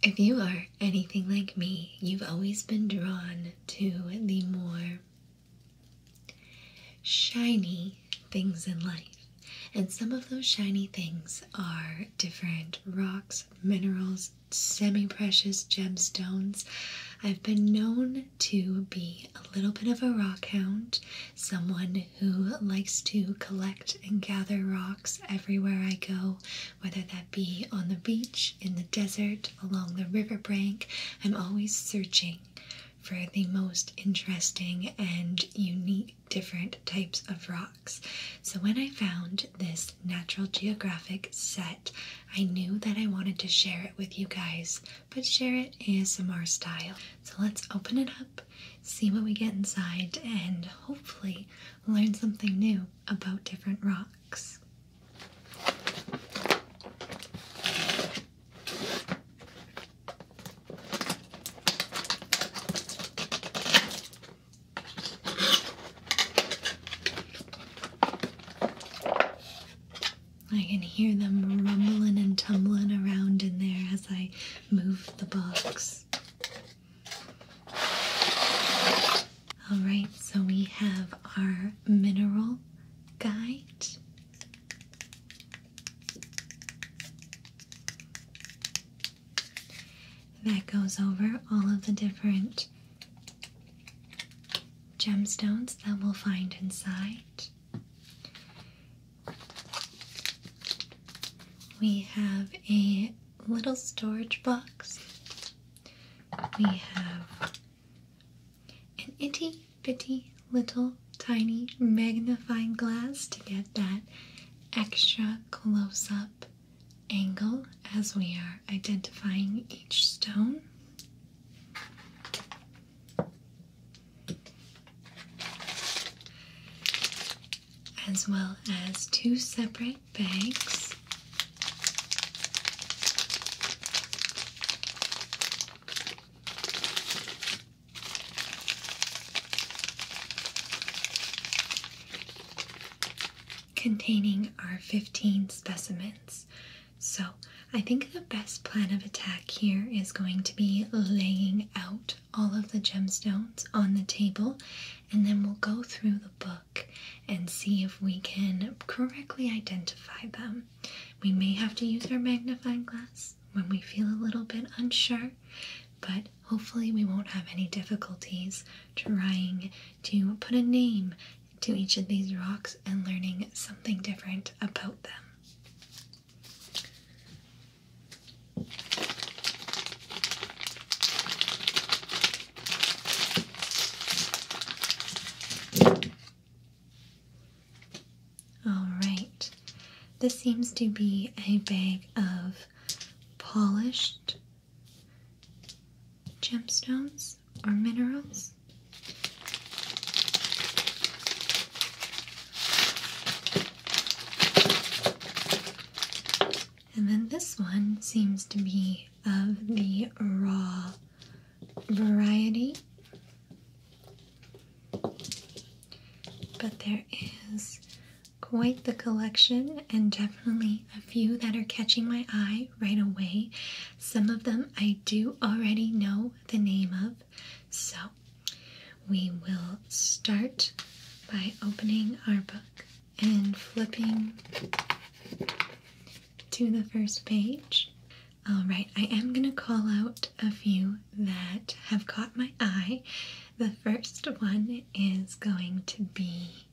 If you are anything like me, you've always been drawn to the more shiny things in life. And some of those shiny things are different rocks, minerals, semi precious gemstones. I've been known to be a little bit of a rockhound, someone who likes to collect and gather rocks everywhere I go, whether that be on the beach, in the desert, along the riverbank. I'm always searching for the most interesting and unique different types of rocks. So when I found this Natural Geographic set, I knew that I wanted to share it with you guys, but share it ASMR style. So let's open it up, see what we get inside, and hopefully learn something new about different rocks. I can hear them rumbling and tumbling around in there as I move the box. Alright, so we have our mineral guide. That goes over all of the different gemstones that we'll find inside. We have a little storage box. We have an itty bitty little tiny magnifying glass to get that extra close up angle as we are identifying each stone as well as two separate bags. Containing our 15 specimens. So, I think the best plan of attack here is going to be laying out all of the gemstones on the table, and then we'll go through the book and see if we can correctly identify them. We may have to use our magnifying glass when we feel a little bit unsure, but hopefully, we won't have any difficulties trying to put a name to each of these rocks and learning something different about them. All right, this seems to be a bag of polished gemstones or minerals. And then this one seems to be of the raw variety. But there is quite the collection, and definitely a few that are catching my eye right away. Some of them I do already know the name of, so we will start by opening our book and flipping to the first page. All right, I am going to call out a few that have caught my eye. The first one is going to be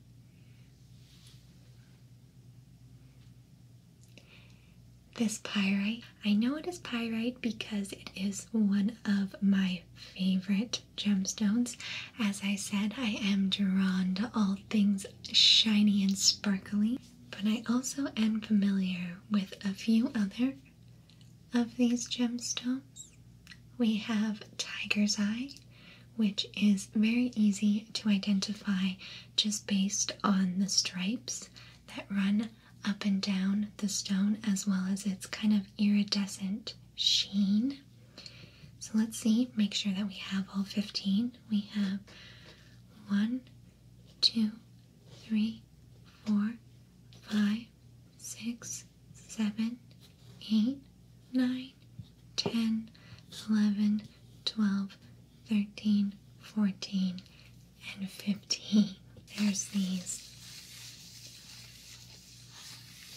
this pyrite. I know it is pyrite because it is one of my favorite gemstones. As I said, I am drawn to all things shiny and sparkly, but I also am familiar with a few other of these gemstones. We have tiger's eye, which is very easy to identify just based on the stripes that run up and down the stone as well as its kind of iridescent sheen. So let's see, make sure that we have all 15. We have one, two, three, four, five, six, seven, eight, nine, ten, eleven, twelve, thirteen, fourteen, and 15. There's these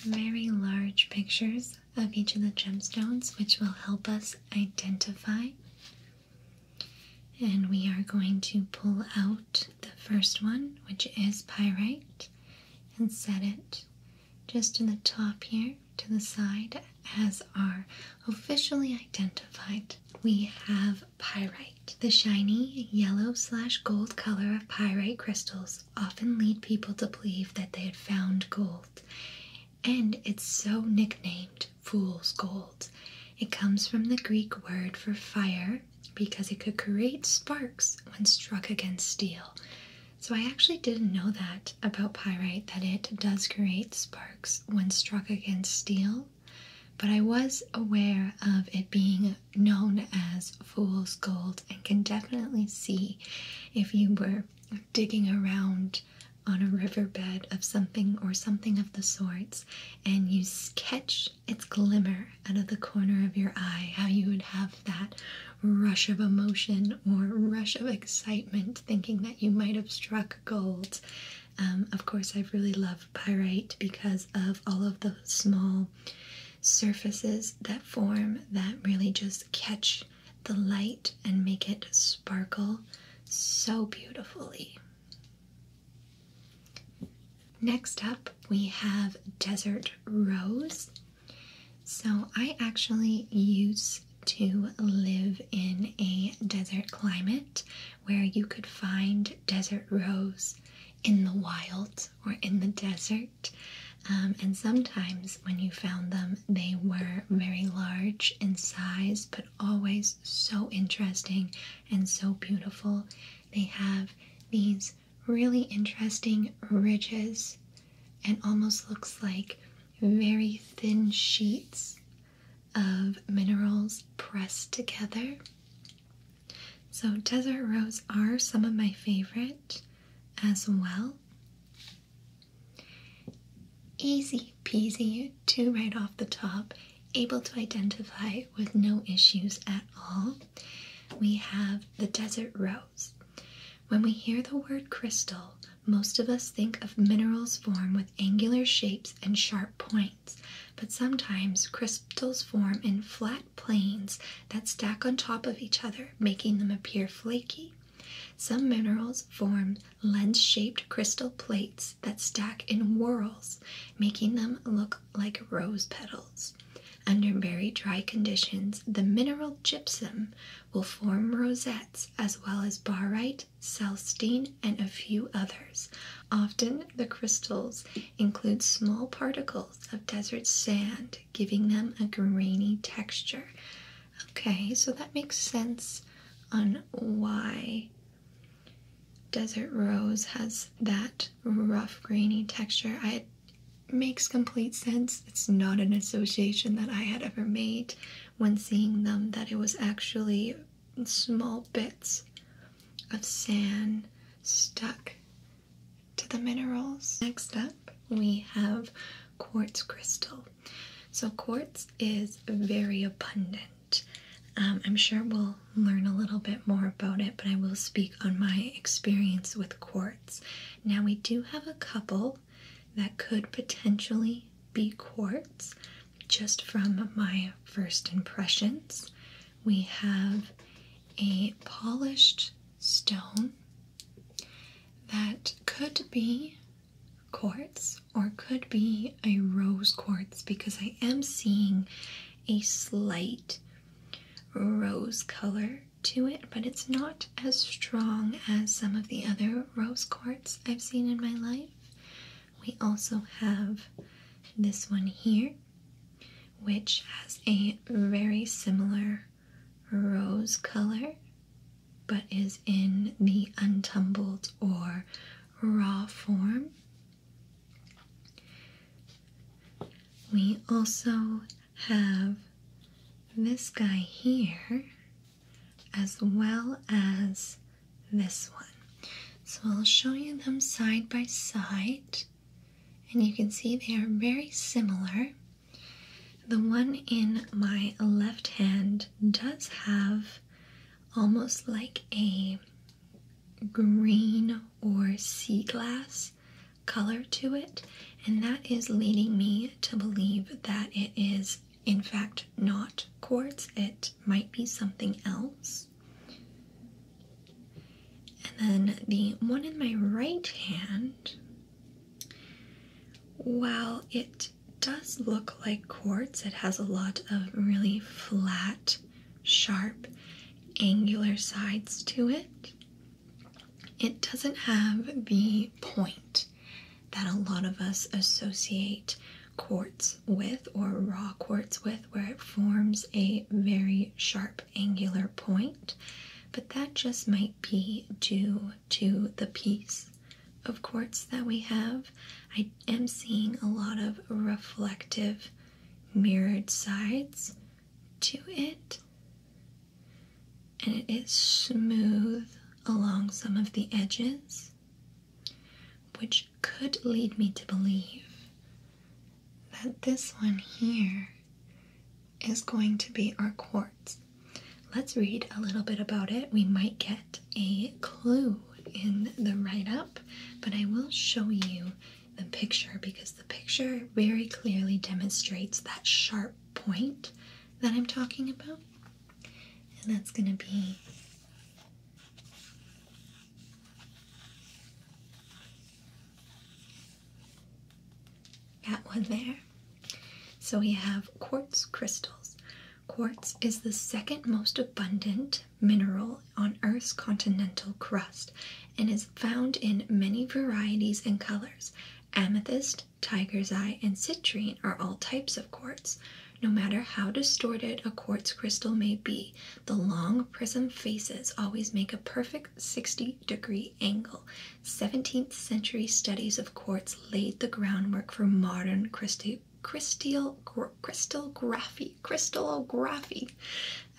very large pictures of each of the gemstones, which will help us identify. And we are going to pull out the first one, which is pyrite, and set it just in the top here, to the side, as our officially identified. We have Pyrite. The shiny yellow slash gold color of pyrite crystals often lead people to believe that they had found gold, and it's so nicknamed fool's gold. It comes from the Greek word for fire because it could create sparks when struck against steel. So I actually didn't know that about pyrite that it does create sparks when struck against steel but I was aware of it being known as fool's gold and can definitely see if you were digging around on a riverbed of something or something of the sorts and you catch its glimmer out of the corner of your eye, how you would have that rush of emotion or rush of excitement thinking that you might have struck gold. Um, of course, I've really loved pyrite because of all of the small surfaces that form that really just catch the light and make it sparkle so beautifully. Next up, we have Desert Rose. So, I actually used to live in a desert climate where you could find desert rose in the wild or in the desert. Um, and sometimes when you found them, they were very large in size, but always so interesting and so beautiful. They have these really interesting ridges and almost looks like very thin sheets of minerals pressed together. So, desert rose are some of my favorite as well. Easy peasy to right off the top, able to identify with no issues at all. We have the desert rose. When we hear the word crystal, most of us think of minerals formed with angular shapes and sharp points but sometimes crystals form in flat planes that stack on top of each other, making them appear flaky. Some minerals form lens shaped crystal plates that stack in whorls, making them look like rose petals. Under very dry conditions, the mineral gypsum will form rosettes as well as barite, celestine, and a few others, often the crystals include small particles of desert sand, giving them a grainy texture. Okay, so that makes sense on why desert rose has that rough, grainy texture. it makes complete sense. It's not an association that I had ever made when seeing them, that it was actually small bits of sand stuck to the minerals. Next up, we have quartz crystal. So, quartz is very abundant. Um, I'm sure we'll learn a little bit more about it, but I will speak on my experience with quartz. Now, we do have a couple that could potentially be quartz just from my first impressions we have a polished stone that could be quartz or could be a rose quartz because I am seeing a slight rose color to it, but it's not as strong as some of the other rose quartz I've seen in my life. We also have this one here, which has a very similar rose color but is in the untumbled or raw form. We also have this guy here as well as this one. So I'll show you them side by side, and you can see they are very similar. The one in my left hand does have almost like a green or sea glass color to it, and that is leading me to believe that it is, in fact, not quartz, it might be something else. And then the one in my right hand, while it does look like quartz, it has a lot of really flat, sharp, angular sides to it. It doesn't have the point that a lot of us associate quartz with or raw quartz with where it forms a very sharp angular point, but that just might be due to the piece of quartz that we have. I am seeing a lot of reflective mirrored sides to it, and it is smooth along some of the edges, which could lead me to believe that this one here is going to be our quartz. Let's read a little bit about it. We might get a clue in the write up, but I will show you the picture because the picture very clearly demonstrates that sharp point that I'm talking about. And that's going to be that one there. So we have quartz crystals. Quartz is the second most abundant mineral on Earth's continental crust and is found in many varieties and colors. Amethyst, tiger's eye, and citrine are all types of quartz. No matter how distorted a quartz crystal may be, the long prism faces always make a perfect 60 degree angle. 17th century studies of quartz laid the groundwork for modern crystal crystal crystallography. Crystallography.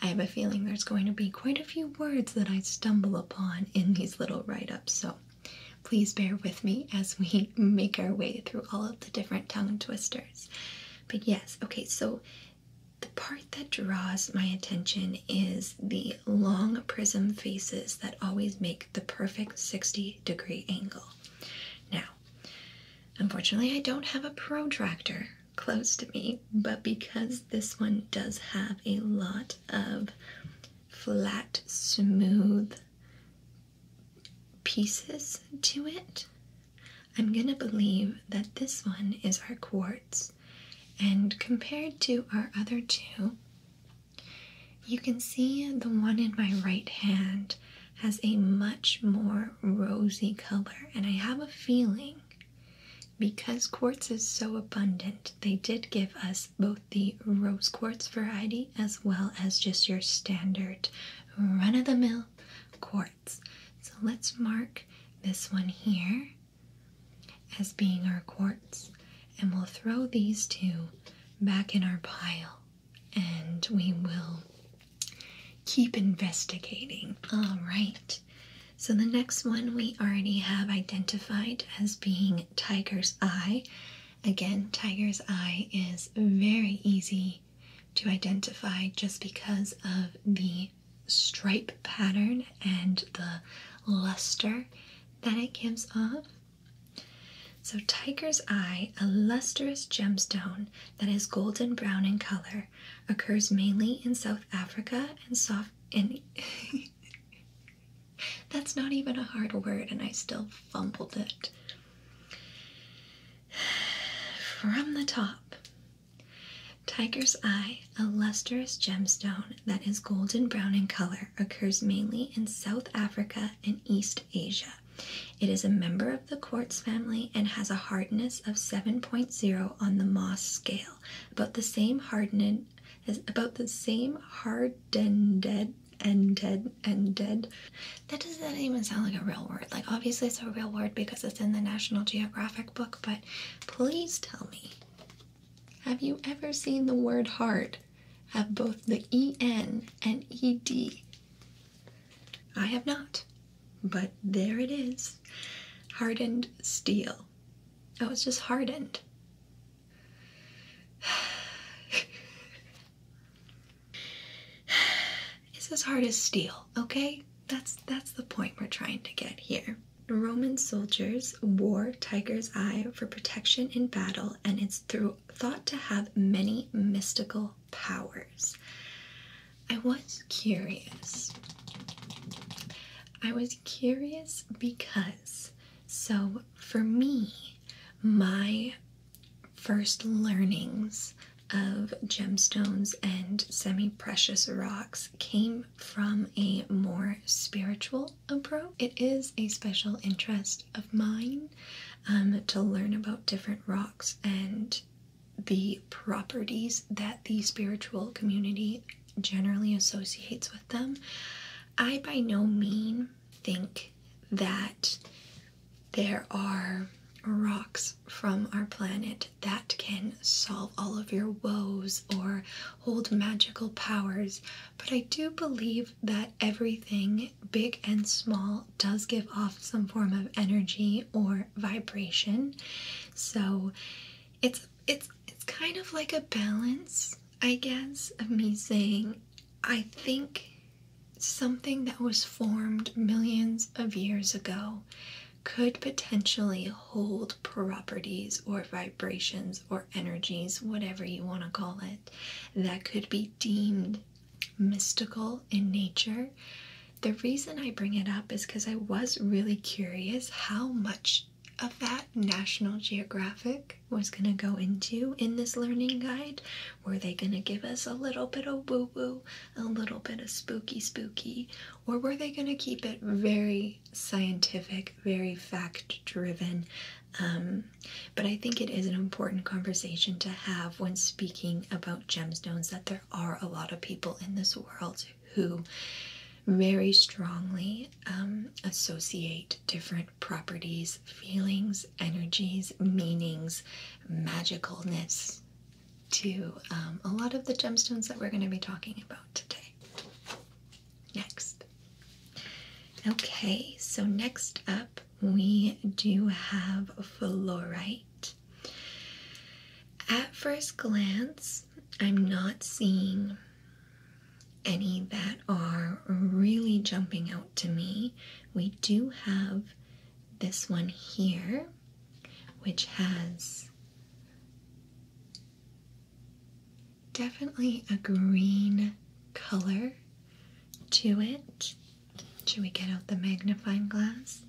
I have a feeling there's going to be quite a few words that I stumble upon in these little write ups, so please bear with me as we make our way through all of the different tongue twisters. But yes, okay, so the part that draws my attention is the long prism faces that always make the perfect 60 degree angle. Now, unfortunately, I don't have a protractor close to me, but because this one does have a lot of flat, smooth pieces to it, I'm gonna believe that this one is our quartz, and compared to our other two, you can see the one in my right hand has a much more rosy color, and I have a feeling because quartz is so abundant, they did give us both the rose quartz variety as well as just your standard run of the mill quartz. So let's mark this one here as being our quartz, and we'll throw these two back in our pile and we will keep investigating. All right, so the next one we already have identified as being Tiger's Eye. Again, Tiger's Eye is very easy to identify just because of the stripe pattern and the luster that it gives off. So, Tiger's Eye, a lustrous gemstone that is golden brown in color, occurs mainly in South Africa and soft. And That's not even a hard word, and I still fumbled it. From the top, Tiger's eye, a lustrous gemstone that is golden brown in color, occurs mainly in South Africa and East Asia. It is a member of the quartz family and has a hardness of 7.0 on the Moss scale, about the same hardened as about the same hardened and dead and dead. That doesn't even sound like a real word. Like obviously it's a real word because it's in the National Geographic book, but please tell me have you ever seen the word heart have both the EN and ED? I have not, but there it is hardened steel. Oh, it's just hardened. it's as hard as steel okay? That's that's the point we're trying to get here. Roman soldiers wore tiger's eye for protection in battle and it's thought to have many mystical powers. I was curious. I was curious because so for me my first learnings of gemstones and semi precious rocks came from a more spiritual approach. It is a special interest of mine um, to learn about different rocks and the properties that the spiritual community generally associates with them. I by no mean think that there are rocks from our planet that can solve all of your woes or hold magical powers, but I do believe that everything, big and small, does give off some form of energy or vibration. So it's it's it's kind of like a balance, I guess, of me saying I think something that was formed millions of years ago could potentially hold properties or vibrations or energies, whatever you want to call it, that could be deemed mystical in nature. The reason I bring it up is because I was really curious how much of that National Geographic was going to go into in this learning guide. Were they going to give us a little bit of woo woo, a little bit of spooky spooky, or were they going to keep it very scientific, very fact driven? Um, but I think it is an important conversation to have when speaking about gemstones that there are a lot of people in this world who very strongly um, associate different properties, feelings, energies, meanings, magicalness, to um, a lot of the gemstones that we're going to be talking about today. Next. Okay, so next up we do have fluorite. At first glance, I'm not seeing any that are really jumping out to me. We do have this one here, which has definitely a green color to it. Should we get out the magnifying glass?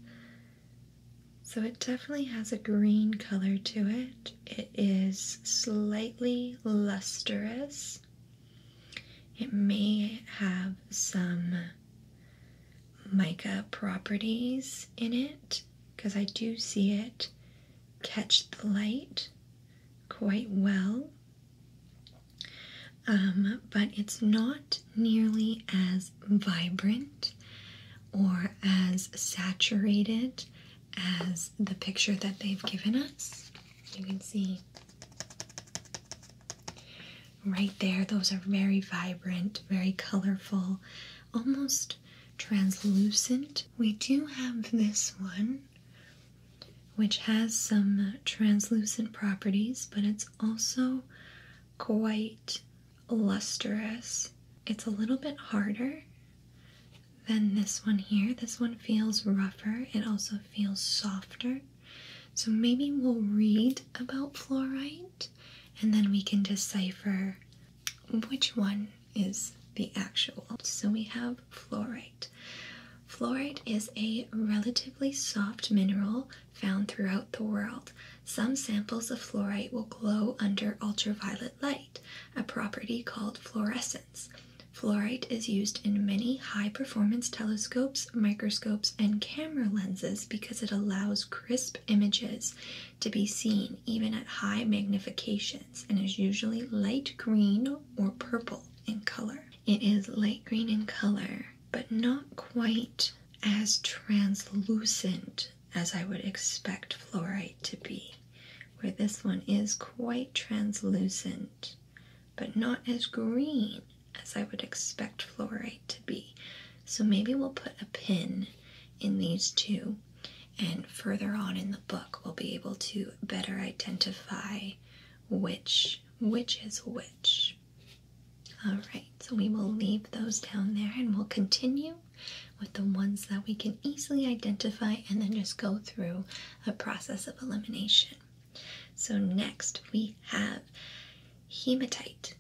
So it definitely has a green color to it. It is slightly lustrous. It may have some mica properties in it because I do see it catch the light quite well. Um, but it's not nearly as vibrant or as saturated as the picture that they've given us. You can see right there. Those are very vibrant, very colorful, almost translucent. We do have this one, which has some translucent properties, but it's also quite lustrous. It's a little bit harder than this one here. This one feels rougher. It also feels softer. So maybe we'll read about fluorite point, and then we can decipher which one is the actual. So we have fluorite. Fluorite is a relatively soft mineral found throughout the world. Some samples of fluorite will glow under ultraviolet light, a property called fluorescence. Fluorite is used in many high performance telescopes, microscopes, and camera lenses because it allows crisp images to be seen even at high magnifications and is usually light green or purple in color. It is light green in color, but not quite as translucent as I would expect fluorite to be, where this one is quite translucent, but not as green as I would expect fluorite to be. So maybe we'll put a pin in these two, and further on in the book, we'll be able to better identify which which is which. All right, so we will leave those down there and we'll continue with the ones that we can easily identify and then just go through a process of elimination. So next we have hematite.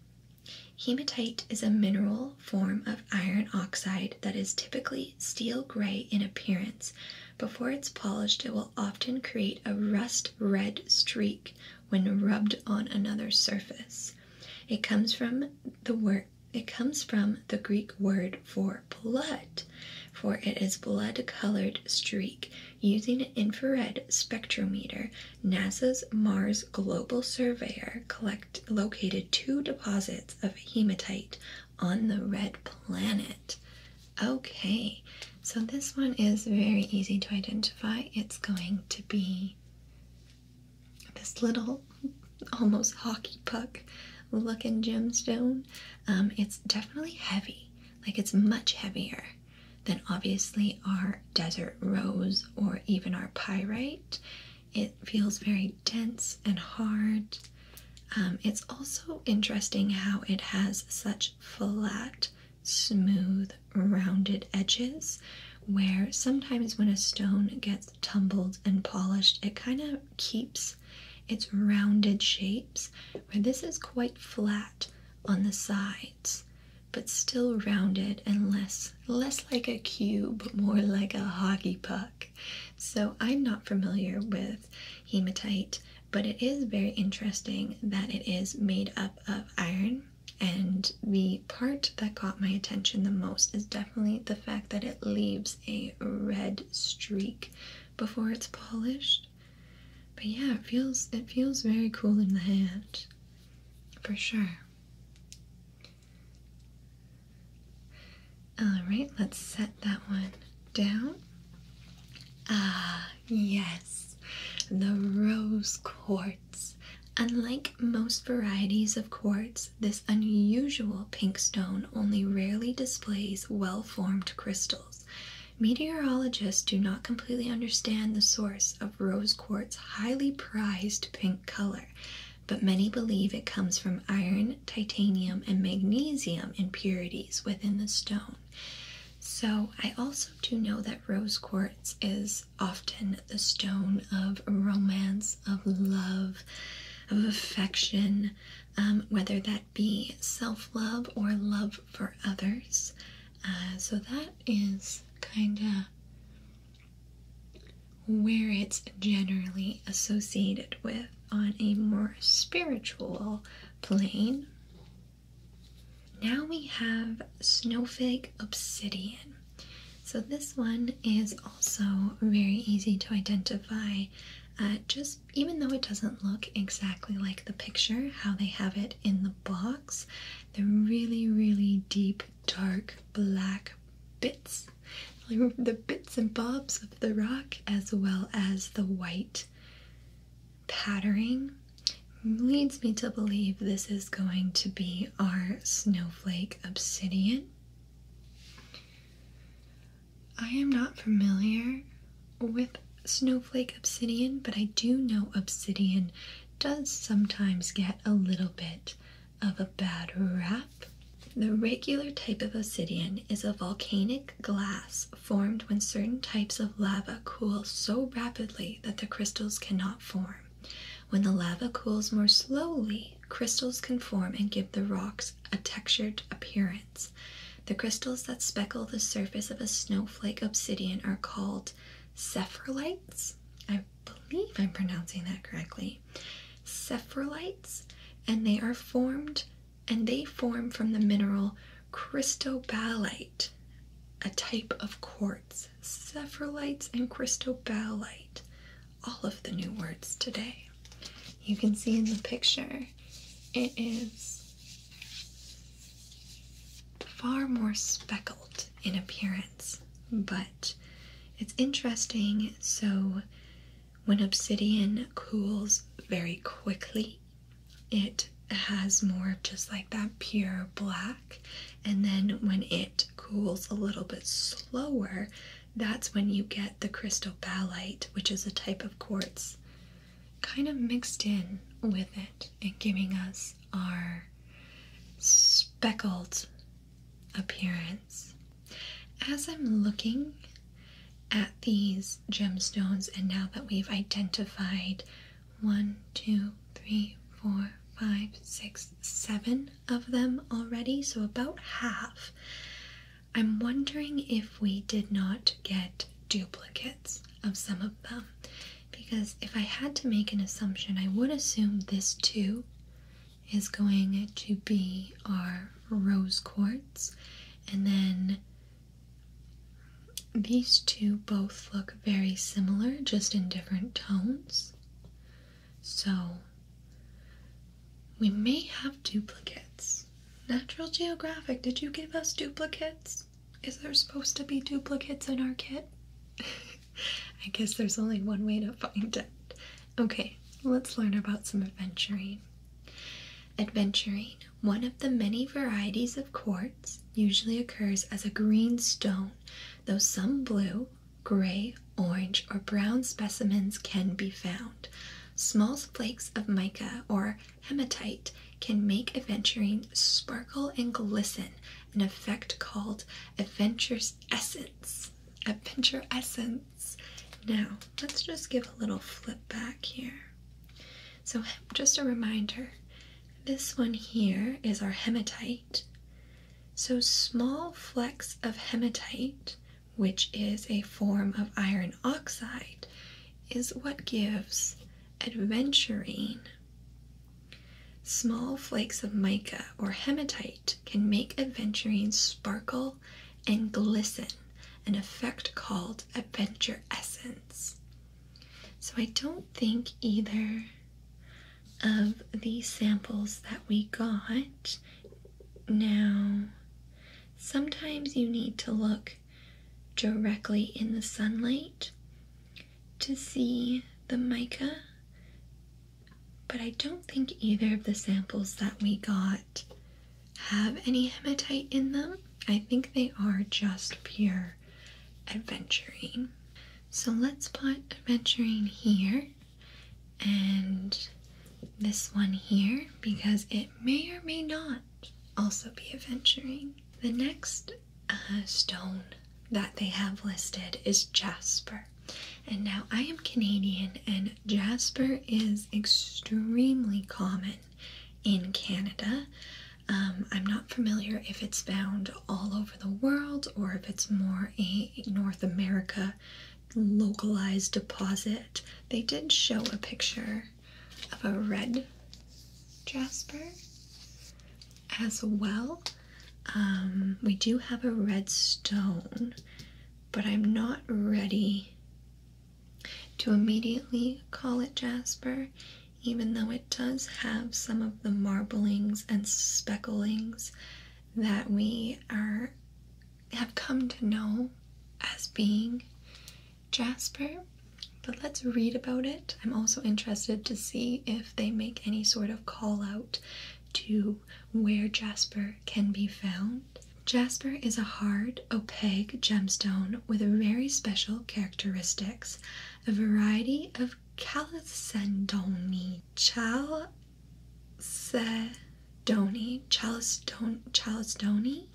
Hematite is a mineral form of iron oxide that is typically steel gray in appearance. Before it's polished, it will often create a rust red streak when rubbed on another surface. It comes from the word it comes from the Greek word for blood, for it is blood-colored streak. Using an infrared spectrometer, NASA's Mars Global Surveyor collect, located two deposits of hematite on the red planet. Okay, so this one is very easy to identify. It's going to be this little almost hockey puck looking gemstone. Um, it's definitely heavy, like it's much heavier than obviously our desert rose or even our pyrite. It feels very dense and hard. Um, it's also interesting how it has such flat, smooth, rounded edges where sometimes when a stone gets tumbled and polished, it kind of keeps its rounded shapes, where this is quite flat on the side but still rounded and less less like a cube, more like a hockey puck. So I'm not familiar with hematite, but it is very interesting that it is made up of iron. And the part that caught my attention the most is definitely the fact that it leaves a red streak before it's polished. But yeah, it feels it feels very cool in the hand. For sure. All right, let's set that one down. Ah, yes, the rose quartz. Unlike most varieties of quartz, this unusual pink stone only rarely displays well formed crystals. Meteorologists do not completely understand the source of rose quartz highly prized pink color, but many believe it comes from iron, titanium, and magnesium impurities within the stone. So, I also do know that rose quartz is often the stone of romance, of love, of affection, um, whether that be self love or love for others. Uh, so, that is kind of where it's generally associated with on a more spiritual plane. Now we have snowflake obsidian. So this one is also very easy to identify. Uh, just even though it doesn't look exactly like the picture, how they have it in the box, they're really, really deep dark black bits, the bits and bobs of the rock, as well as the white patterning, leads me to believe this is going to be our snowflake obsidian. I am not familiar with snowflake obsidian, but I do know obsidian does sometimes get a little bit of a bad rap. The regular type of obsidian is a volcanic glass formed when certain types of lava cool so rapidly that the crystals cannot form. When the lava cools more slowly, crystals can form and give the rocks a textured appearance. The crystals that speckle the surface of a snowflake obsidian are called sephrolites. I believe I'm pronouncing that correctly, sephrolites, and they are formed and they form from the mineral cristobalite, a type of quartz. Sephrolites and cristobalite, all of the new words today. You can see in the picture, it is far more speckled in appearance but it's interesting. So, when obsidian cools very quickly, it has more just like that pure black, and then when it cools a little bit slower, that's when you get the crystal cristobalite, which is a type of quartz kind of mixed in with it and giving us our speckled appearance. As I'm looking at these gemstones, and now that we've identified one, two, three, four, five, six, seven of them already, so about half, I'm wondering if we did not get duplicates of some of them. Because if I had to make an assumption, I would assume this too is going to be our rose quartz and then these two both look very similar just in different tones so we may have duplicates natural geographic did you give us duplicates is there supposed to be duplicates in our kit I guess there's only one way to find it. Okay, let's learn about some adventuring. Adventuring, one of the many varieties of quartz, usually occurs as a green stone, though some blue, gray, orange, or brown specimens can be found. Small flakes of mica or hematite can make adventuring sparkle and glisten, an effect called adventure is essence, adventure essence. Now, let's just give a little flip back here. So, just a reminder this one here is our hematite. So, small flecks of hematite, which is a form of iron oxide, is what gives adventurine Small flakes of mica or hematite can make aventurines sparkle and glisten, an effect called adventure essence. So, I don't think either of the samples that we got. Now, sometimes you need to look directly in the sunlight to see the mica but I don't think either of the samples that we got have any hematite in them. I think they are just pure adventuring. So let's put adventuring here and this one here because it may or may not also be adventuring. The next uh, stone that they have listed is jasper. And now I am Canadian, and jasper is extremely common in Canada. Um, I'm not familiar if it's found all over the world or if it's more a North America localized deposit. They did show a picture of a red jasper as well. Um, we do have a red stone, but I'm not ready to immediately call it jasper, even though it does have some of the marblings and specklings that we are have come to know as being jasper. But let's read about it. I'm also interested to see if they make any sort of call out to where jasper can be found. Jasper is a hard, opaque gemstone with very special characteristics. A variety of chalcedony, chalcedony, chalcedony,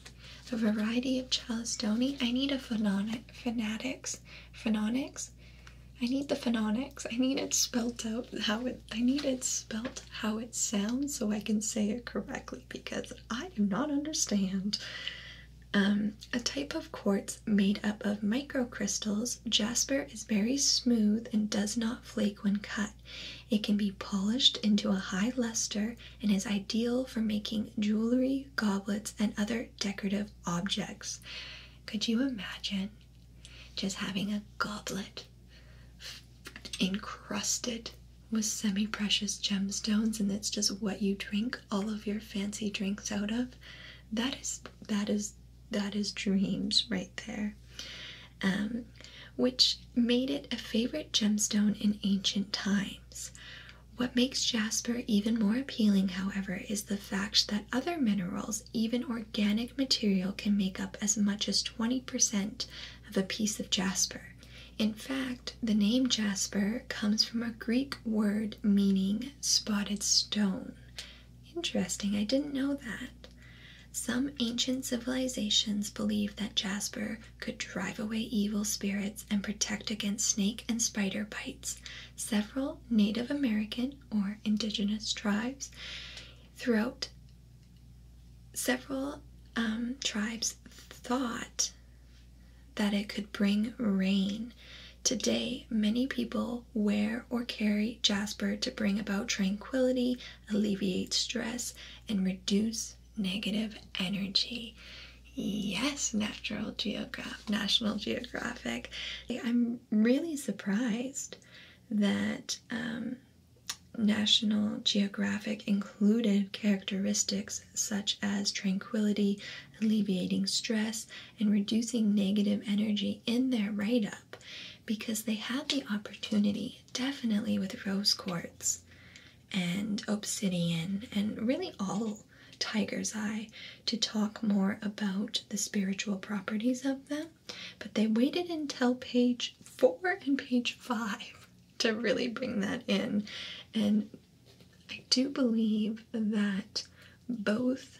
a variety of chalcedony. I need a phononic, phonetics, phononics I need the phonetics. I need it spelt out how it I need it spelt how it sounds so I can say it correctly because I do not understand. Um, a type of quartz made up of microcrystals, jasper is very smooth and does not flake when cut. It can be polished into a high luster and is ideal for making jewelry, goblets, and other decorative objects. Could you imagine just having a goblet encrusted with semi precious gemstones, and that's just what you drink all of your fancy drinks out of. That is, that is, that is dreams right there. Um, which made it a favorite gemstone in ancient times. What makes jasper even more appealing, however, is the fact that other minerals, even organic material can make up as much as 20% of a piece of jasper. In fact, the name jasper comes from a Greek word meaning spotted stone. Interesting, I didn't know that. Some ancient civilizations believed that jasper could drive away evil spirits and protect against snake and spider bites. Several Native American or indigenous tribes. Throughout several um, tribes thought that it could bring rain. Today, many people wear or carry jasper to bring about tranquility, alleviate stress, and reduce negative energy. Yes, National Geographic. I'm really surprised that um, National Geographic included characteristics such as tranquility, alleviating stress, and reducing negative energy in their write up because they had the opportunity, definitely with rose quartz and obsidian, and really all tiger's eye, to talk more about the spiritual properties of them but they waited until page four and page five to really bring that in. And I do believe that both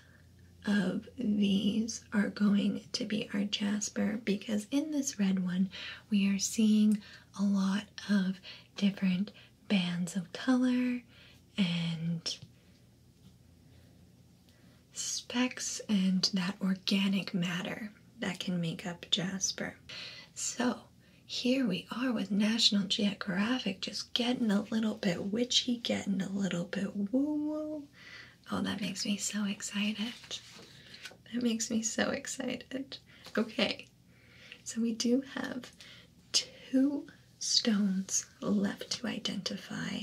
of these are going to be our jasper because in this red one we are seeing a lot of different bands of color and specks and that organic matter that can make up jasper. So here we are with National Geographic just getting a little bit witchy, getting a little bit woo woo. Oh, that makes me so excited. That makes me so excited. Okay, so we do have two stones left to identify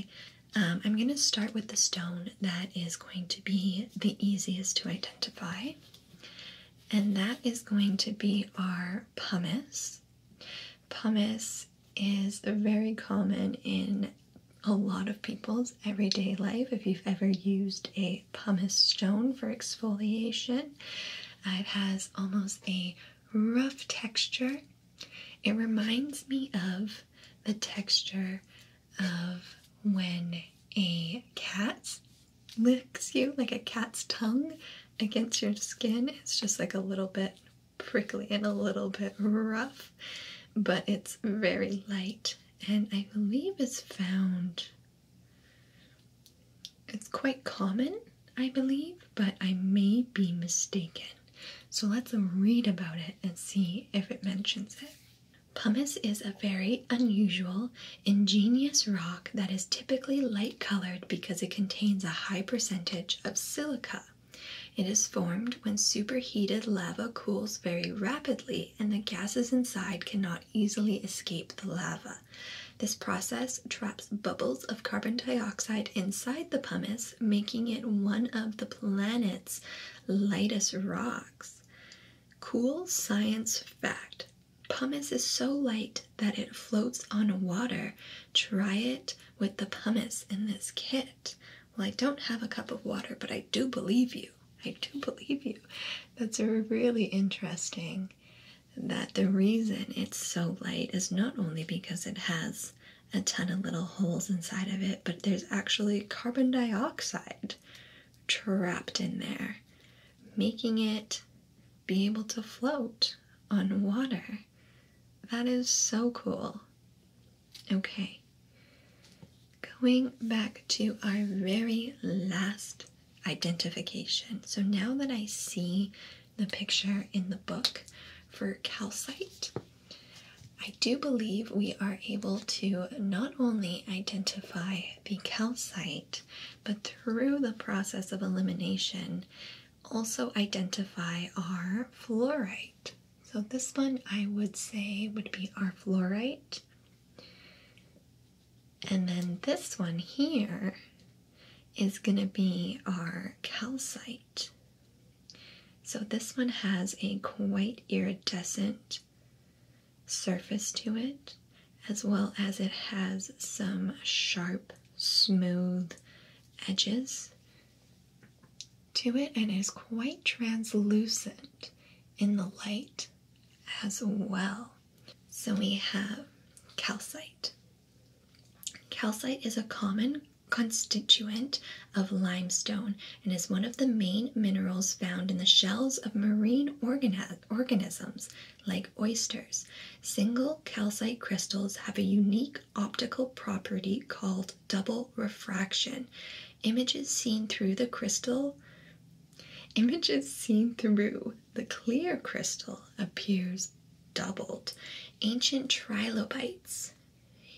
um, I'm going to start with the stone that is going to be the easiest to identify, and that is going to be our pumice. Pumice is very common in a lot of people's everyday life. If you've ever used a pumice stone for exfoliation, it has almost a rough texture it reminds me of the texture of when a cat licks you, like a cat's tongue against your skin. It's just like a little bit prickly and a little bit rough, but it's very light and I believe it's found. It's quite common, I believe, but I may be mistaken. So let's read about it and see if it mentions it. Pumice is a very unusual, ingenious rock that is typically light colored because it contains a high percentage of silica. It is formed when superheated lava cools very rapidly and the gases inside cannot easily escape the lava. This process traps bubbles of carbon dioxide inside the pumice making it one of the planet's lightest rocks. Cool science fact pumice is so light that it floats on water. Try it with the pumice in this kit. Well, I don't have a cup of water, but I do believe you. I do believe you. That's really interesting that the reason it's so light is not only because it has a ton of little holes inside of it, but there's actually carbon dioxide trapped in there, making it be able to float on water. That is so cool. Okay, going back to our very last identification. So now that I see the picture in the book for calcite, I do believe we are able to not only identify the calcite, but through the process of elimination, also identify our fluorite. So, this one I would say would be our fluorite. And then this one here is going to be our calcite. So this one has a quite iridescent surface to it, as well as it has some sharp, smooth edges to it and is quite translucent in the light as well. So we have calcite. Calcite is a common constituent of limestone and is one of the main minerals found in the shells of marine organisms like oysters. Single calcite crystals have a unique optical property called double refraction. Images seen through the crystal images seen through the clear crystal appears doubled. Ancient trilobites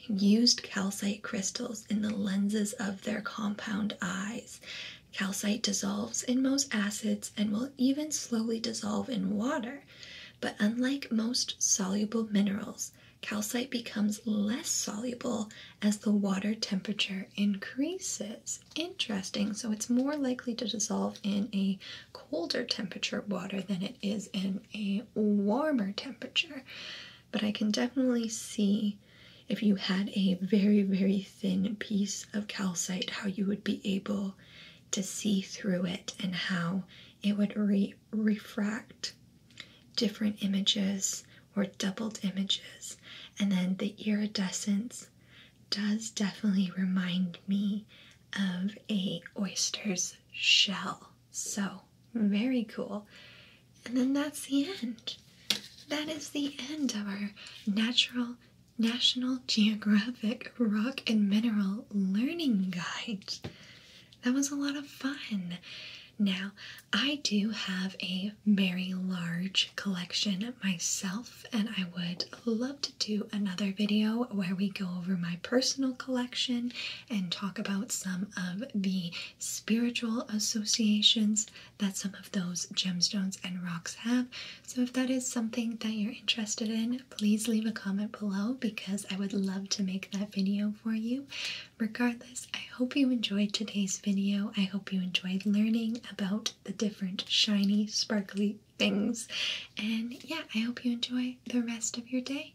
used calcite crystals in the lenses of their compound eyes. Calcite dissolves in most acids and will even slowly dissolve in water, but unlike most soluble minerals, calcite becomes less soluble as the water temperature increases. Interesting. So it's more likely to dissolve in a colder temperature water than it is in a warmer temperature, but I can definitely see if you had a very, very thin piece of calcite, how you would be able to see through it and how it would refract different images or doubled images. And then the iridescence does definitely remind me of a oyster's shell. So, very cool. And then that's the end. That is the end of our natural National Geographic Rock and Mineral Learning Guide. That was a lot of fun. Now, I do have a very large collection myself, and I would love to do another video where we go over my personal collection and talk about some of the spiritual associations that some of those gemstones and rocks have. So, if that is something that you're interested in, please leave a comment below because I would love to make that video for you. Regardless, I hope you enjoyed today's video. I hope you enjoyed learning about the different shiny, sparkly things. And yeah, I hope you enjoy the rest of your day.